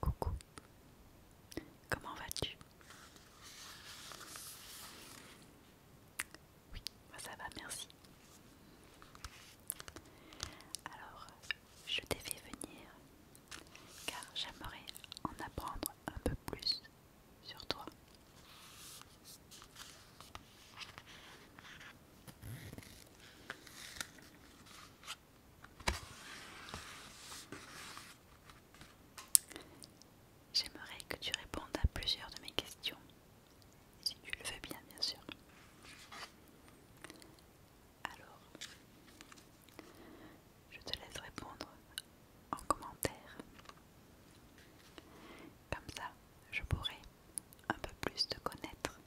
Coucou, comment vas-tu Oui, ça va, merci. Alors, je t'ai fait venir car j'aimerais en apprendre un peu plus sur toi. J'aimerais que tu répondes à plusieurs de mes questions, si tu le veux bien, bien sûr. Alors, je te laisse répondre en commentaire. Comme ça, je pourrai un peu plus te connaître.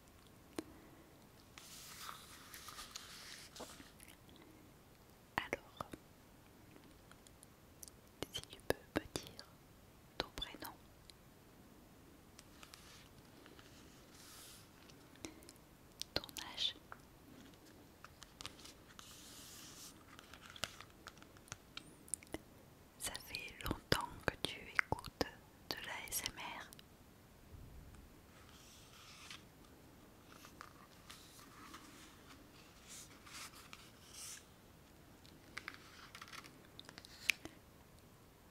Alors, si tu peux me dire ton prénom. Ton âge ça fait longtemps que tu écoutes de la SMR.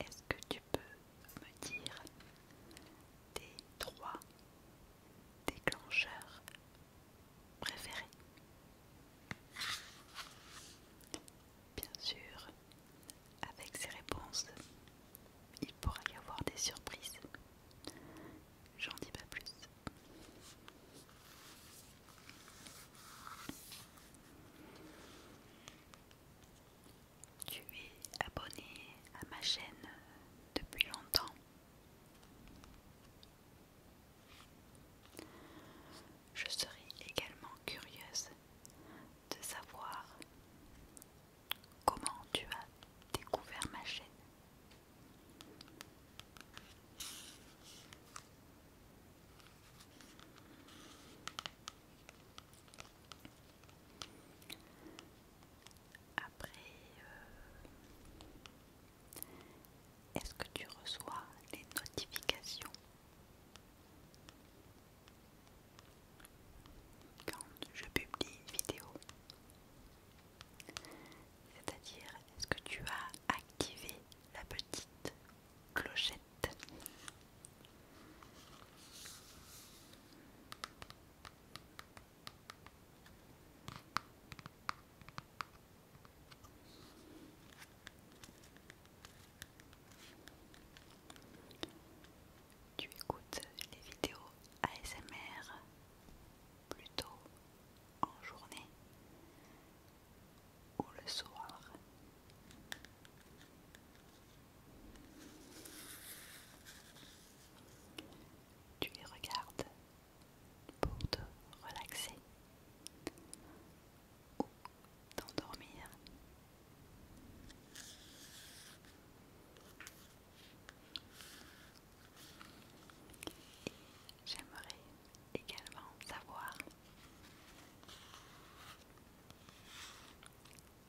Est-ce que tu peux me dire tes trois déclencheurs préférés Bien sûr, avec ces réponses, il pourra y avoir des surprises. J'en dis pas plus. Tu es abonné à ma chaîne depuis longtemps. Je serai également curieuse de savoir comment tu as découvert ma chaîne. Après, euh, est-ce que tu reçois les notifications quand je publie une vidéo. C'est-à-dire, est-ce que tu as activé la petite clochette tu écoutes les vidéos ASMR plutôt en journée ou le soir. Tu les regardes pour te relaxer d'endormir. j'aimerais également savoir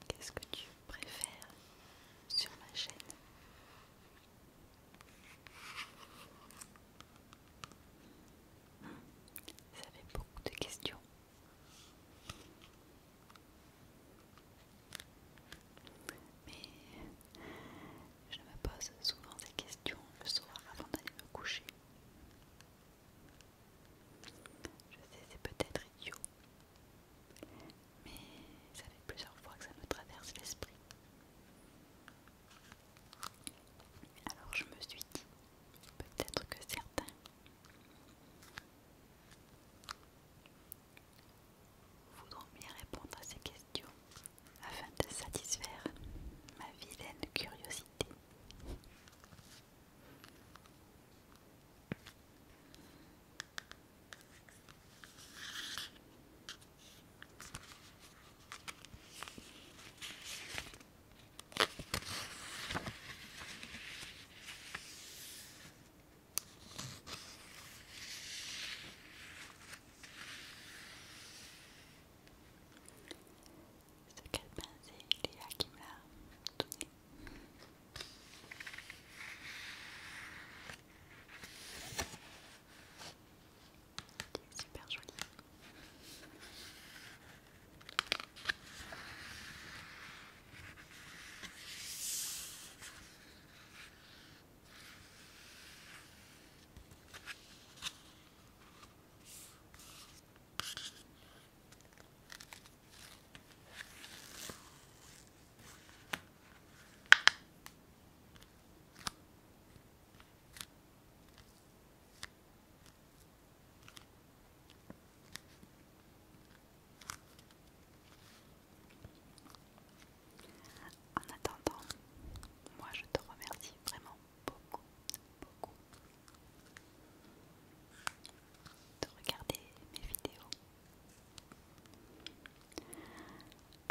qu'est-ce que tu préfères sur ma chaîne. Ça fait beaucoup de questions. Mais je me pose souvent ces questions le soir avant d'aller me coucher. Je sais, c'est peut-être idiot, mais ça fait plusieurs fois que ça me traverse l'esprit. Alors je me suis dit, peut-être que certains voudront bien répondre à ces questions afin de satisfaire ma vilaine curiosité. Ce qu'elle pensait, Léa qui me l'a donné. C'est super joli. En attendant, moi je te remercie vraiment beaucoup, beaucoup de regarder mes vidéos.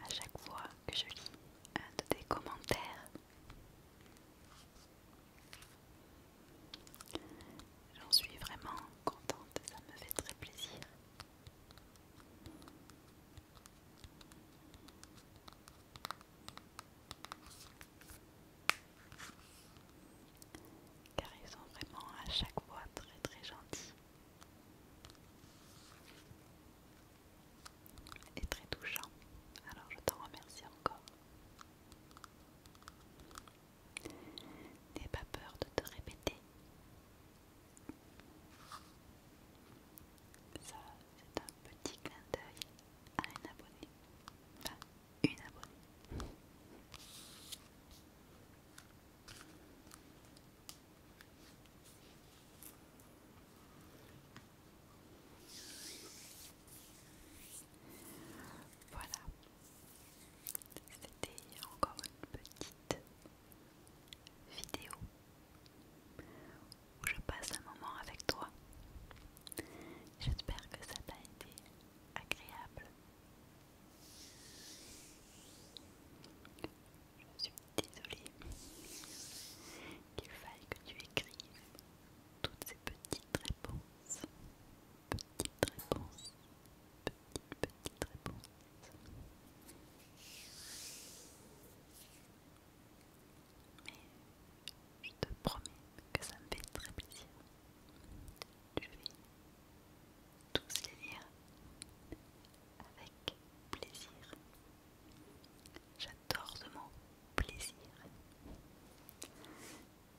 À chaque fois que je lis un de tes commentaires, J'en suis vraiment contente, ça me fait très plaisir. Car ils sont vraiment à chaque fois très très gentils. Est très touchant. Alors je t'en remercie encore. n'ai pas peur de te répéter. Ça, c'est un petit clin d'œil à un abonné. Enfin, une abonnée. Voilà, c'était encore une petite vidéo où je passe un moment avec toi. J'espère que ça t'a été agréable. Désolée qu'il faille que tu écrives toutes ces petites réponses. Petites réponses. Petites, petites réponses. Mais je te promets que ça me fait très plaisir. Je vais tous les lire avec plaisir. J'adore ce mot, plaisir.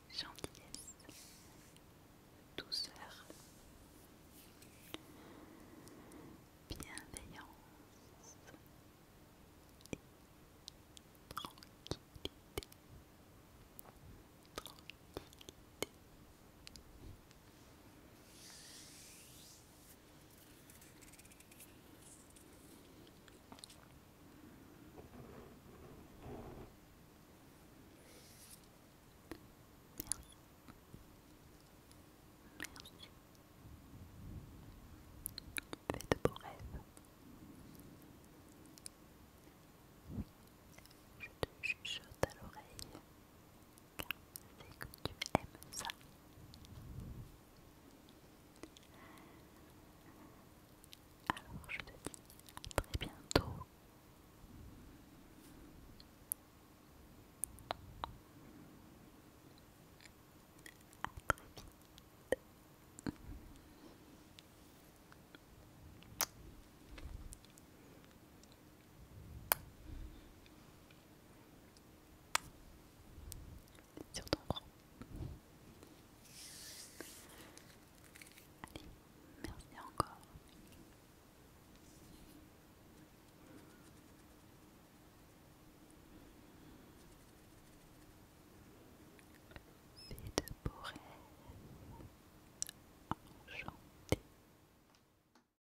Gentillesse, douceur, bienveillance tranquillité. Tranquillité. Merci. Fais de beaux rêves. Je te chuchote à l'oreille c'est que tu aimes ça. Alors je te dis à très bientôt. À très vite. Sur ton rang. Allez, merci encore. Fais de beaux rêves enchantés.